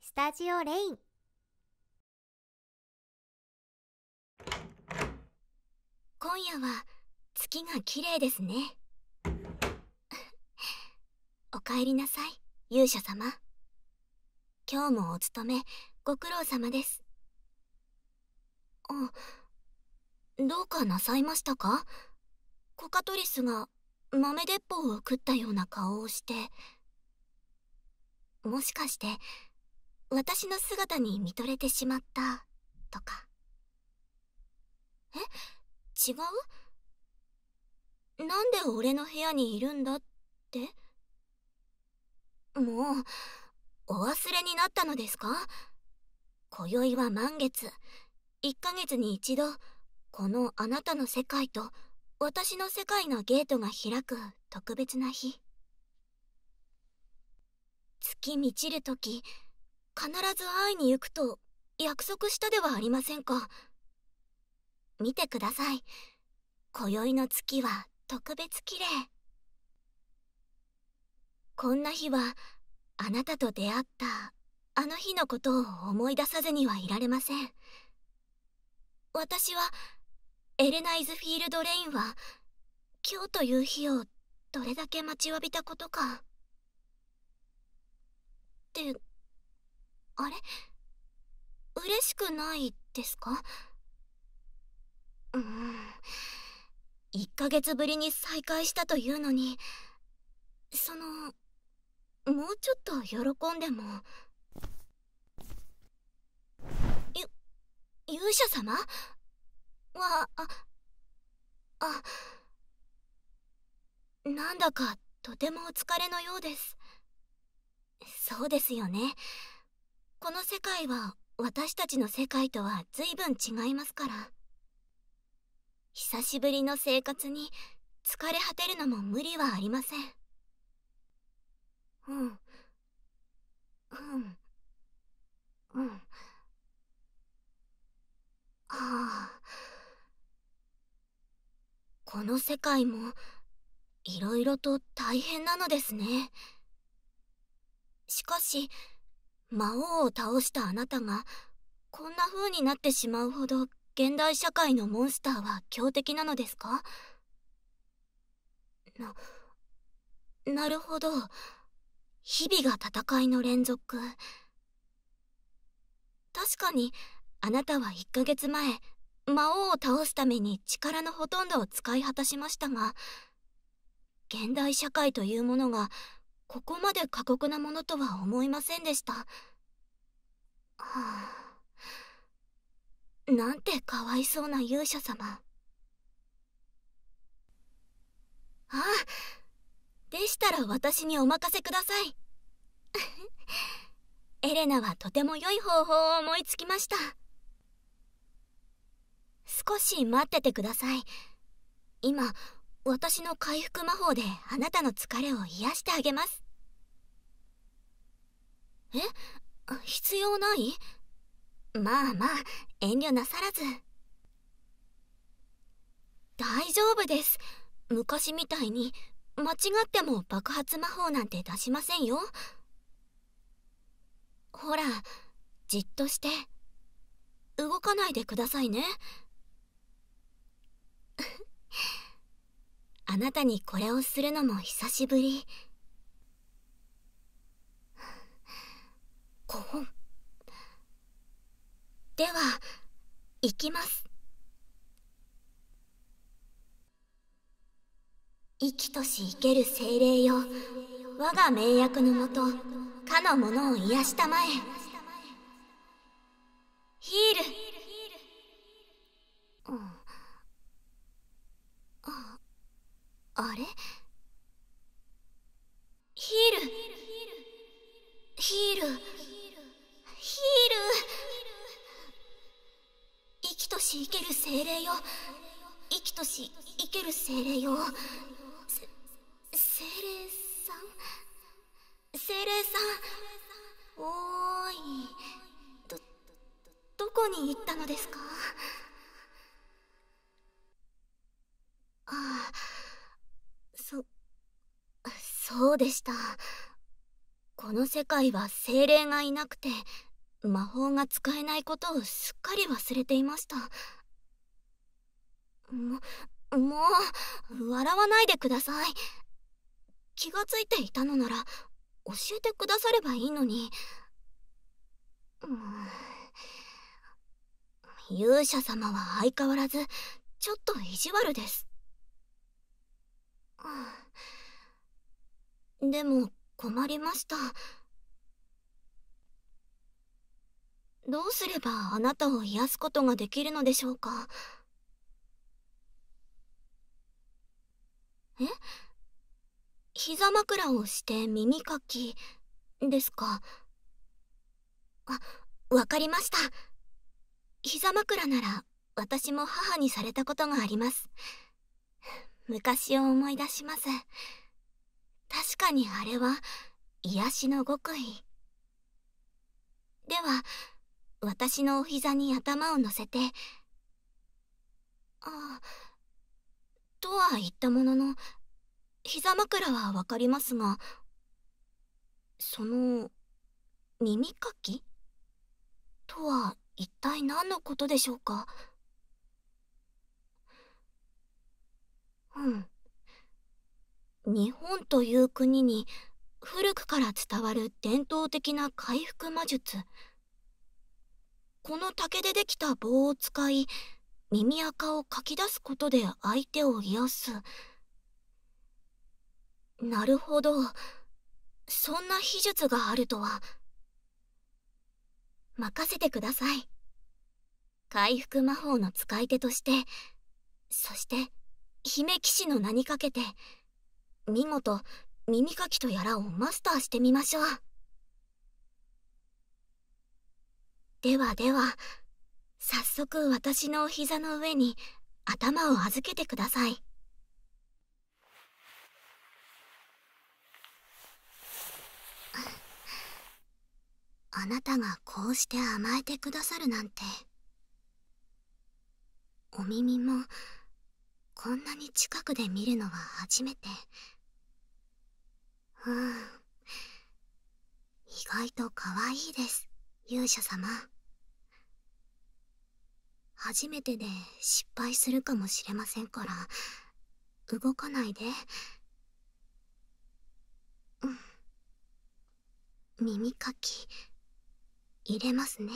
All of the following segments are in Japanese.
スタジオレイン今夜は月が綺麗ですね お帰りなさい勇者様今日もお勤めご苦労様ですあどうかなさいましたかコカトリスが豆鉄砲を食ったような顔をしてもしかして私の姿に見とれてしまったとかえ違うなんで俺の部屋にいるんだってもうお忘れになったのですか今宵は満月1ヶ月に一度このあなたの世界と私の世界のゲートが開く特別な日月満ちる時必ず会いに行くと約束したではありませんか見てください今宵の月は特別綺麗こんな日はあなたと出会ったあの日のことを思い出さずにはいられません私はエレナイズフィールドレインは今日という日をどれだけ待ちわびたことかってあれ嬉しくないですかうん1ヶ月ぶりに再会したというのにそのもうちょっと喜んでもゆ勇者様はああなんだかとてもお疲れのようですそうですよねこの世界は私たちの世界とはずいぶん違いますから久しぶりの生活に疲れ果てるのも無理はありませんうんうんうんはあこの世界もいろいろと大変なのですねしかし魔王を倒したあなたがこんな風になってしまうほど現代社会のモンスターは強敵なのですかな、なるほど。日々が戦いの連続。確かに、あなたは1ヶ月前、魔王を倒すために力のほとんどを使い果たしましたが、現代社会というものが、ここまで過酷なものとは思いませんでした。なんてかわいそうな勇者様あでしたら私にお任せください エレナはとても良い方法を思いつきました少し待っててください今私の回復魔法であなたの疲れを癒やしてあげますえ必要ないまあまあ遠慮なさらず大丈夫です昔みたいに間違っても爆発魔法なんて出しませんよほらじっとして動かないでくださいねっあなたにこれをするのも久しぶりこほんでは行きます生きとし生ける精霊よ我が名役のもとかの者を癒やしたまえヒールヒールうん、ああれヒールヒールヒール生きとし生ける精霊よ生きとし生ける精霊よ精霊さん精霊さんおーいどどこに行ったのですかああそそうでしたこの世界は精霊がいなくて魔法が使えないことをすっかり忘れていましたももう笑わないでください気がついていたのなら教えてくださればいいのに、勇者様は相変わらずちょっと意地悪です、でも困りましたどうすればあなたを癒やすことができるのでしょうかえ膝枕をして耳かきですかあわかりました膝枕なら私も母にされたことがあります昔を思い出します確かにあれは癒やしの極意では私のお膝に頭を乗せてああ、とは言ったものの膝枕は分かりますがその耳かきとは一体何のことでしょうかうん日本という国に古くから伝わる伝統的な回復魔術この竹でできた棒を使い耳垢をかき出すことで相手を癒すなるほどそんな秘術があるとは任せてください回復魔法の使い手としてそして姫騎士の名にかけて見事耳かきとやらをマスターしてみましょうではでは早速私のお膝の上に頭を預けてくださいあなたがこうして甘えてくださるなんてお耳もこんなに近くで見るのは初めてうん意外と可愛いです勇者様初めてで失敗するかもしれませんから動かないで、うん、耳かき入れますね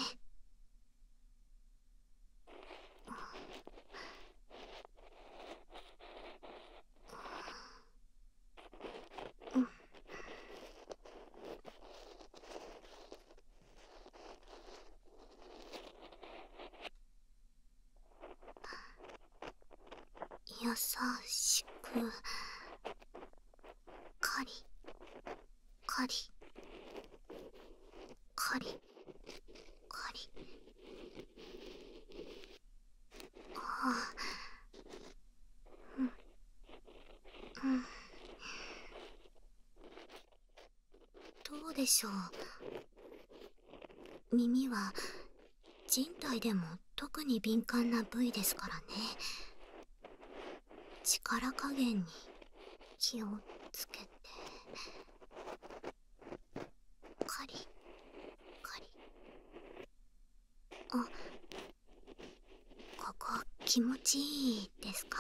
優しくカリカリカリカリああうんうんどうでしょう耳は人体でも特に敏感な部位ですからね力加減に気をつけてカリカリあここ気持ちいいですか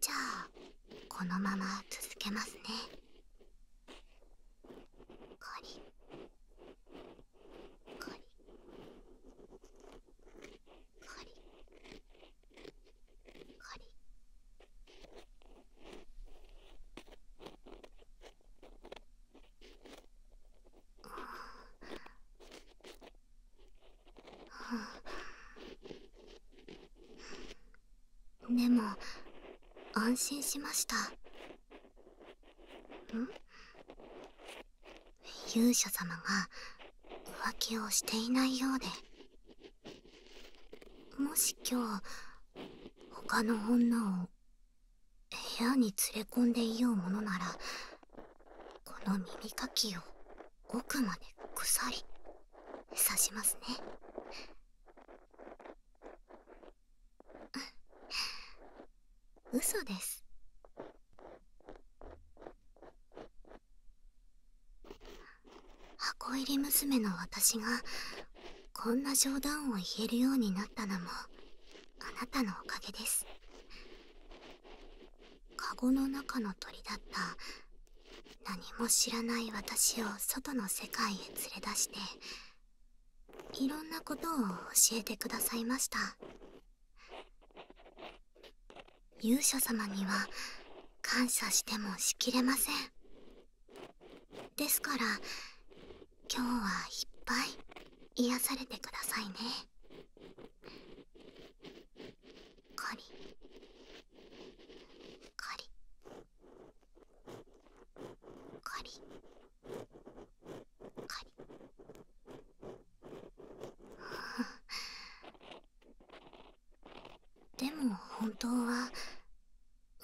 じゃあこのまま続けますねカリカリカリカリああはあでも安心しましたん勇者様が浮気をしていないようでもし今日他の女を部屋に連れ込んでいようものならこの耳かきを奥まで鎖刺しますね嘘です箱入り娘の私がこんな冗談を言えるようになったのもあなたのおかげですカゴの中の鳥だった何も知らない私を外の世界へ連れ出していろんなことを教えてくださいました勇者様には感謝してもしきれませんですから今日はいっぱい癒やされてくださいねカリカリカリカリ でも本当は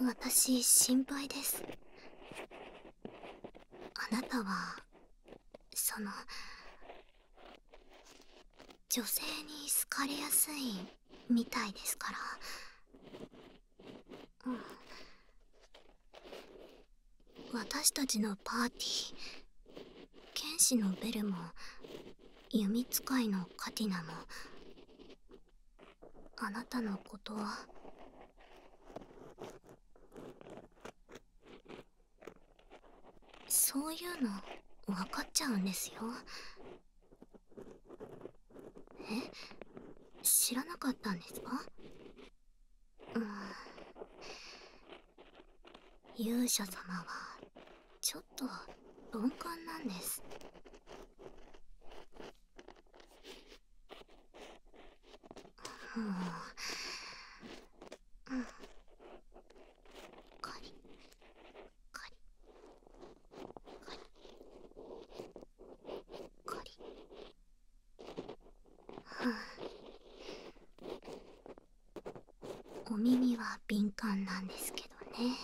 私心配ですあなたはその女性に好かれやすいみたいですから、うん、私たちのパーティー剣士のベルも弓使いのカティナもあなたのことはそういうの分かっちゃうんですよえ知らなかったんですかうん勇者様はちょっと鈍感なんですもう、うん、カリカリカリカリはあお耳は敏感なんですけどね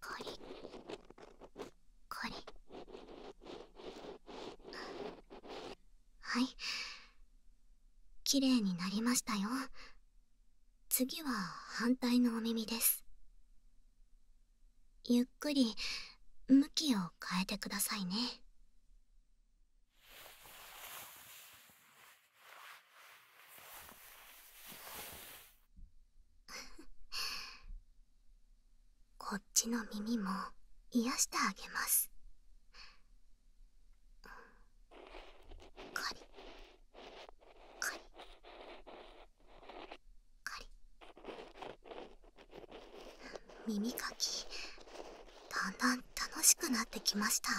カリカリはい綺麗になりましたよ次は反対のお耳ですゆっくり向きを変えてくださいね こっちの耳も癒やしてあげますカリカリ耳かきだんだん楽しくなってきました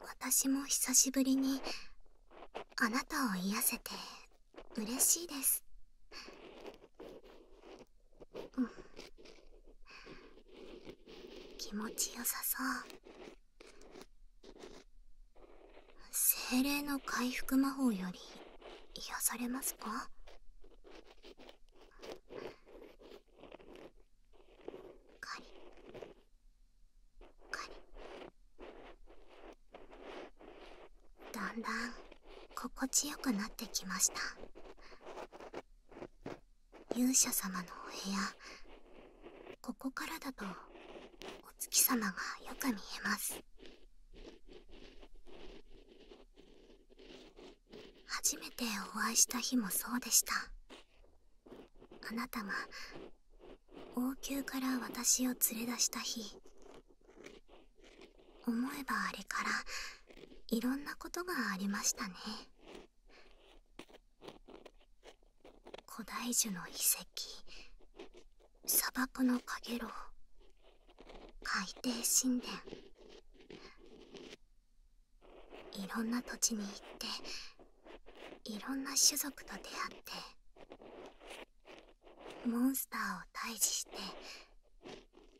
私も久しぶりにあなたを癒やせて嬉しいですうん気持ちよさそう精霊の回復魔法より癒されますかカリカリだんだん心地よくなってきました勇者様のお部屋ここからだとお月様がよく見えます初めてお会いした日もそうでしたあなたが王宮から私を連れ出した日思えばあれからいろんなことがありましたね古代樹の遺跡砂漠のかげ海底神殿いろんな土地に行っていろんな種族と出会ってモンスターを退治して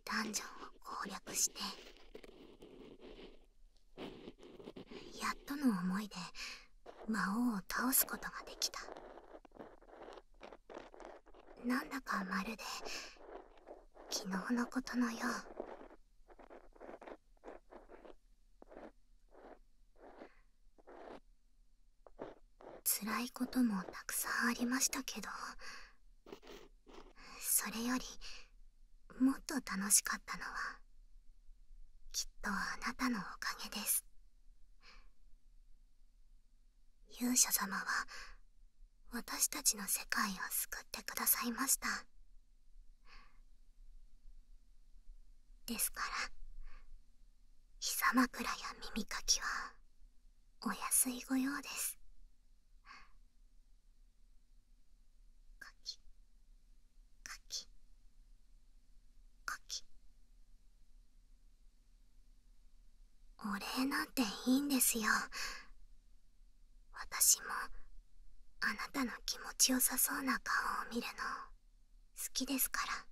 ダンジョンを攻略してやっとの思いで魔王を倒すことができたなんだかまるで昨日のことのよう辛いこともたくさんありましたけどそれよりもっと楽しかったのはきっとあなたのおかげです勇者様は私たちの世界を救ってくださいましたですから膝枕や耳かきはお安いご用ですかきかきかきお礼なんていいんですよ私もあなたの気持ちよさそうな顔を見るの好きですから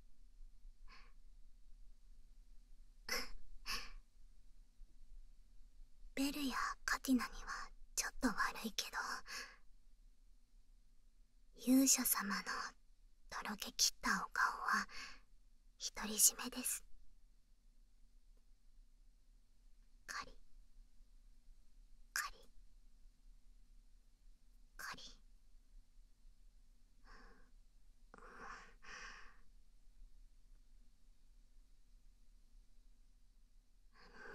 ベルやカティナにはちょっと悪いけど勇者様のとろけきったお顔は独り占めですカリカリカリ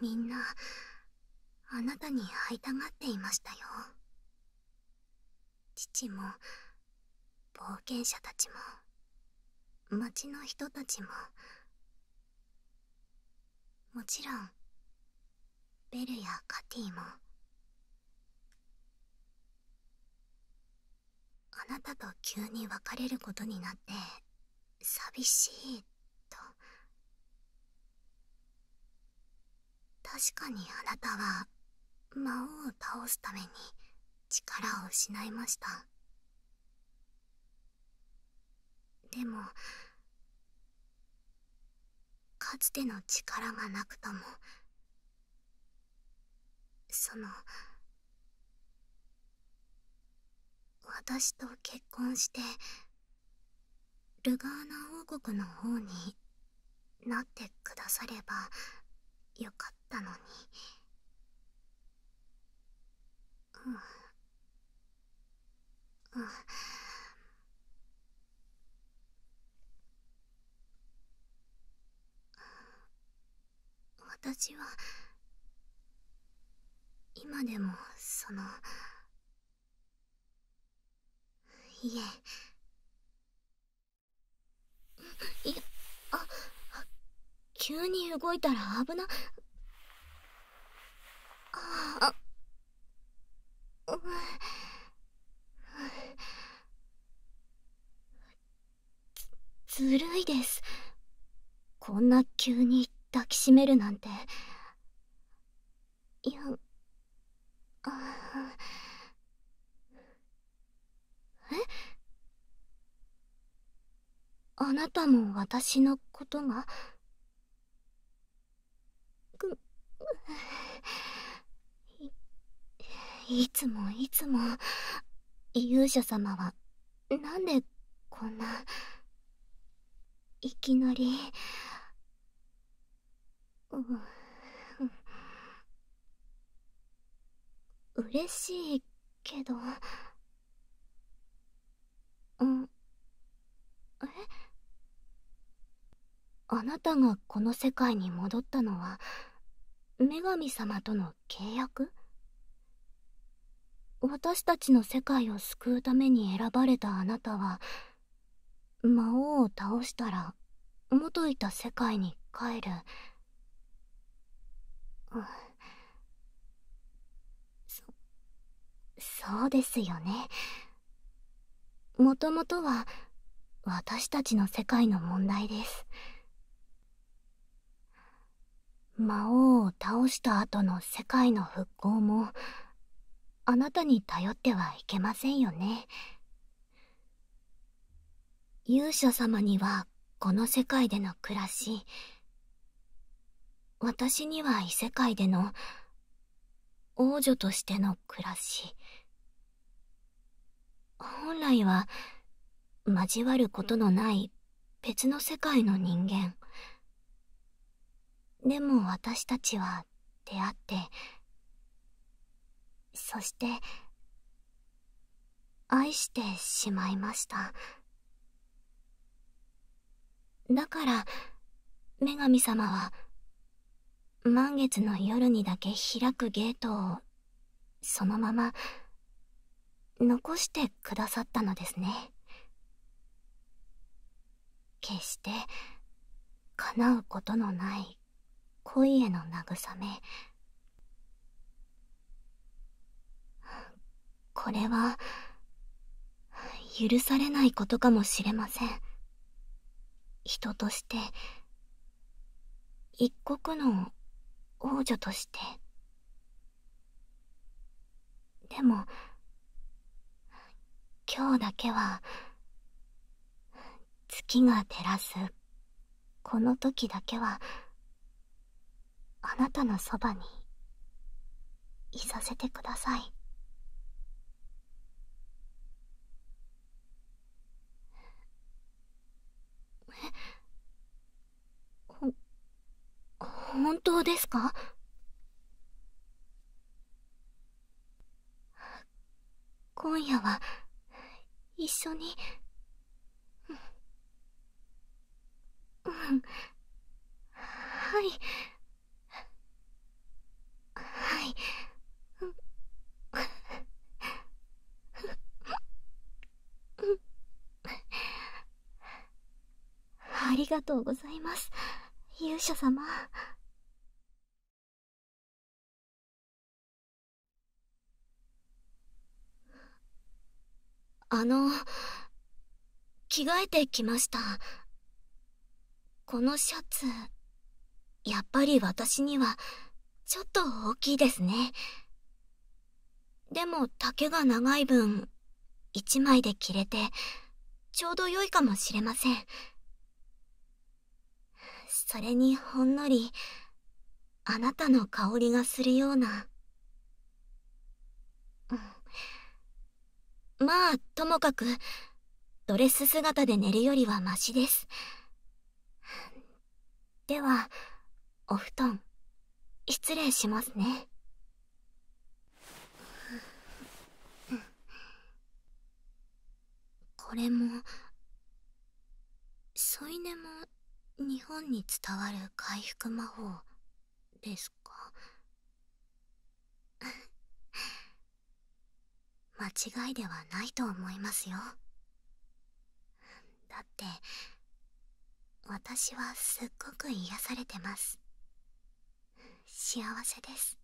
みんなあなたに会いたがっていましたよ父も冒険者たちも町の人たちももちろんベルやカティもあなたと急に別れることになって寂しいと確かにあなたは魔王を倒すために力を失いましたでもかつての力がなくともその私と結婚してルガーナ王国の方になってくださればよかったのに、うんうん、私は今でもそのいえいあ急に動いたら危なああ、うず、ずるいですこんな急に抱きしめるなんていやあえあなたも私のことがくいいつもいつも勇者様はなんでこんないきなりうう嬉しいけどうんえあなたがこの世界に戻ったのは女神様との契約私たちの世界を救うために選ばれたあなたは魔王を倒したら元いた世界に帰る、そそうですよねもともとは私たちの世界の問題です魔王を倒した後の世界の復興もあなたに頼ってはいけませんよね勇者様にはこの世界での暮らし私には異世界での王女としての暮らし本来は交わることのない別の世界の人間でも私たちは出会ってそして愛してしまいましただから女神様は満月の夜にだけ開くゲートをそのまま残してくださったのですね決して叶うことのない恋への慰めこれは許されないことかもしれません人として一国の王女としてでも今日だけは月が照らすこの時だけはあなたのそばにいさせてくださいえ？ほ本当ですか今夜は一緒にうん、うん、はいはいありがとうございます勇者様あの着替えてきましたこのシャツやっぱり私にはちょっと大きいですねでも丈が長い分1枚で着れてちょうど良いかもしれませんそれにほんのりあなたの香りがするような、まあともかくドレス姿で寝るよりはマシですではお布団失礼しますねんこれも添い寝も日本に伝わる回復魔法ですか 間違いではないと思いますよだって私はすっごく癒されてます幸せです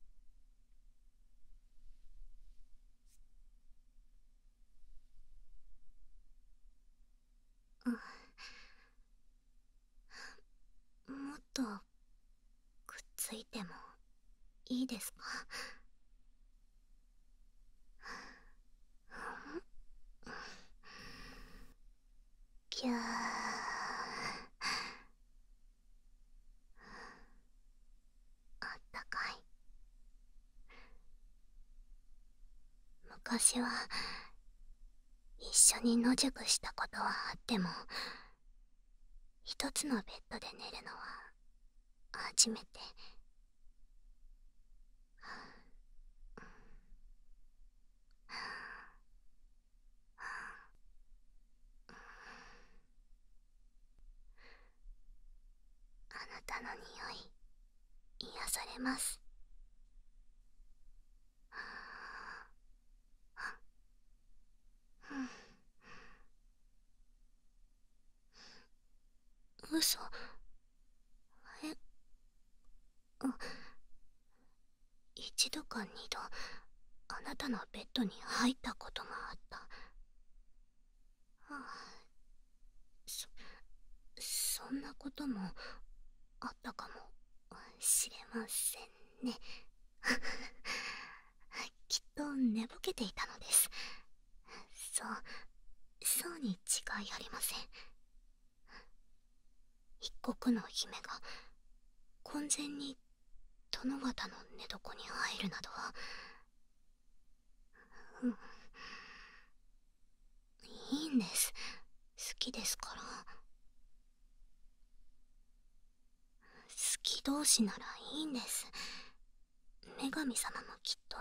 ん。もっとくっついてもいいですかきゃーあったかい昔は一緒に野宿したことはあっても一つのベッドで寝るのは初めてあなたの匂い癒されますうそえ一度か二度あなたのベッドに入ったことがあったあそそんなこともあったかもしれませんね きっと寝ぼけていたのですそうそうに違いありません一国の姫が婚前に殿方の寝床に入るなどういいんです好きですから好き同士ならいいんです女神様もきっと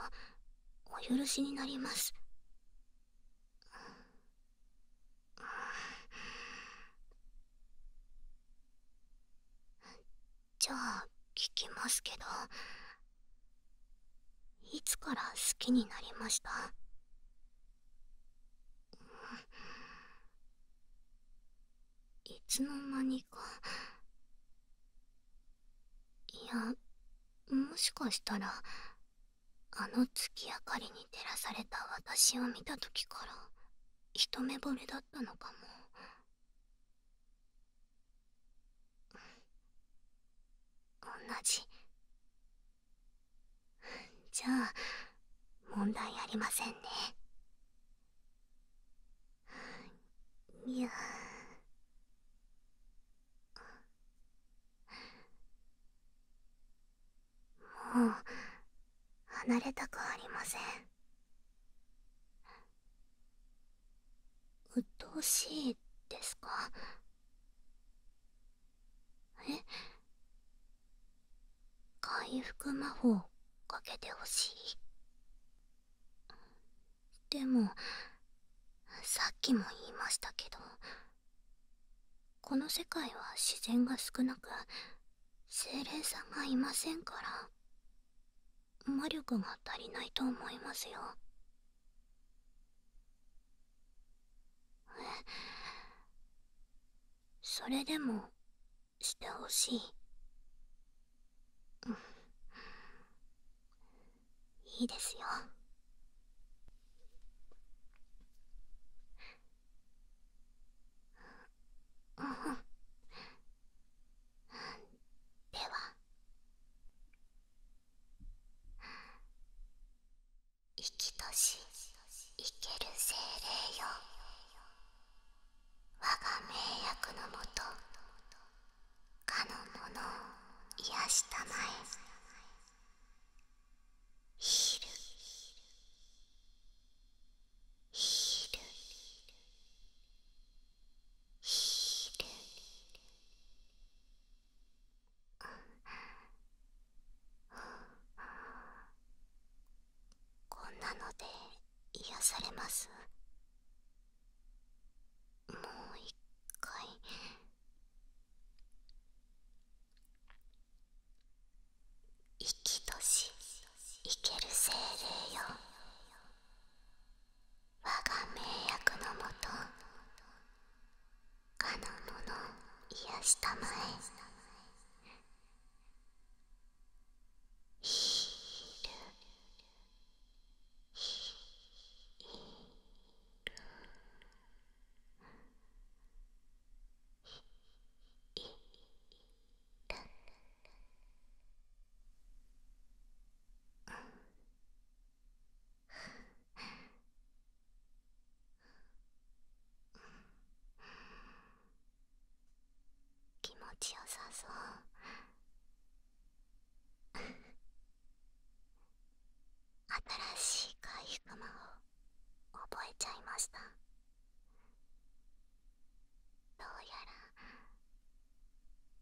お許しになりますじゃあ聞きますけどいつから好きになりましたいつの間にかいやもしかしたらあの月明かりに照らされた私を見た時から一目ぼれだったのかも。ん同じじゃあ問題ありませんねいやもう離れたくありません。鬱陶しいですかえ回復魔法かけてほしいでもさっきも言いましたけどこの世界は自然が少なく精霊さんがいませんから魔力が足りないと思いますよそれでもしてほしいいいですよでは生きとし生ける精霊よ我が名役のもとかの者を癒したまえヒーヒールヒールこんなので癒されますもう一回生きとし生ける精霊よ我が名役のもとかの者癒したまえひるいるひるいるひるる気持ちよさそう新しい回復魔を覚えちゃいましたどうやら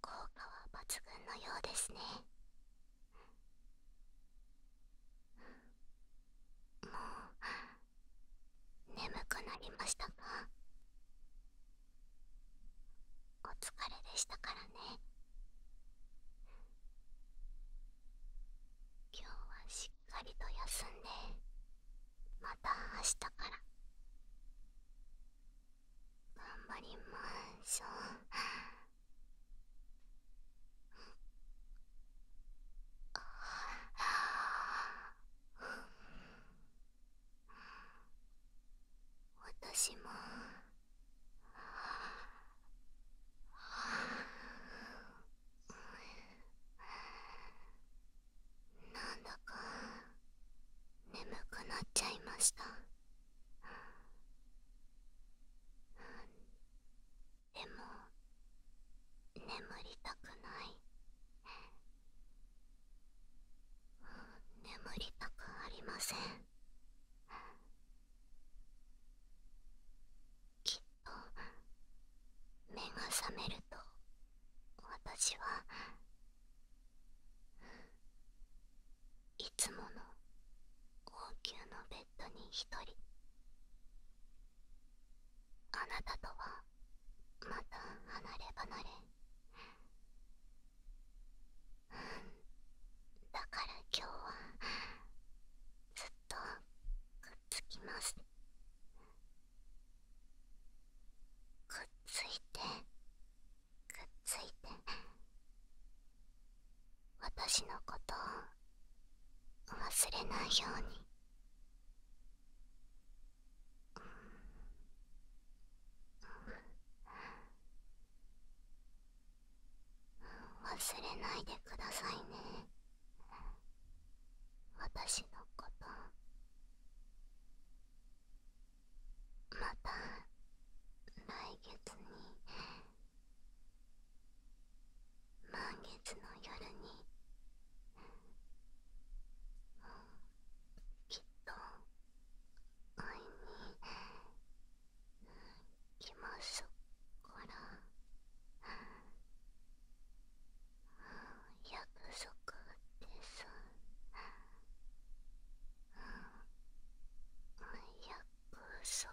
効果は抜群のようですねもう眠くなりましたかお疲れでしたからね今日はしっかりと休んでまた明日から頑張りましょう。私も。なんだか眠くなっちゃいましたでも眠りたくない眠りたくありませんきっと目が覚めると私はいつもの高級のベッドに一人あなたとはまた離れ離れだから今日はずっとくっつきます。くっついてくっついて私のことを忘れないように。忘れないでくださいね私のことまた来月に満月の夜にきっと会いに来ますから。約束です約束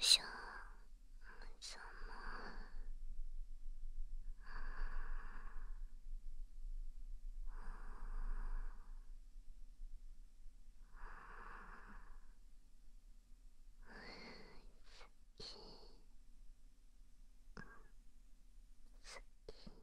しょその好き好き好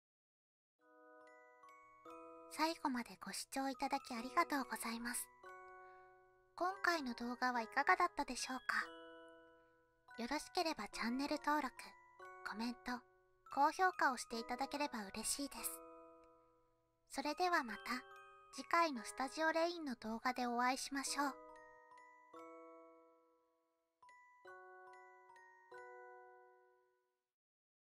最後までご視聴いただきありがとうございます。今回の動画はいかがだったでしょうかよろしければチャンネル登録、コメント、高評価をしていただければ嬉しいです。それではまた次回のスタジオレインの動画でお会いしましょう。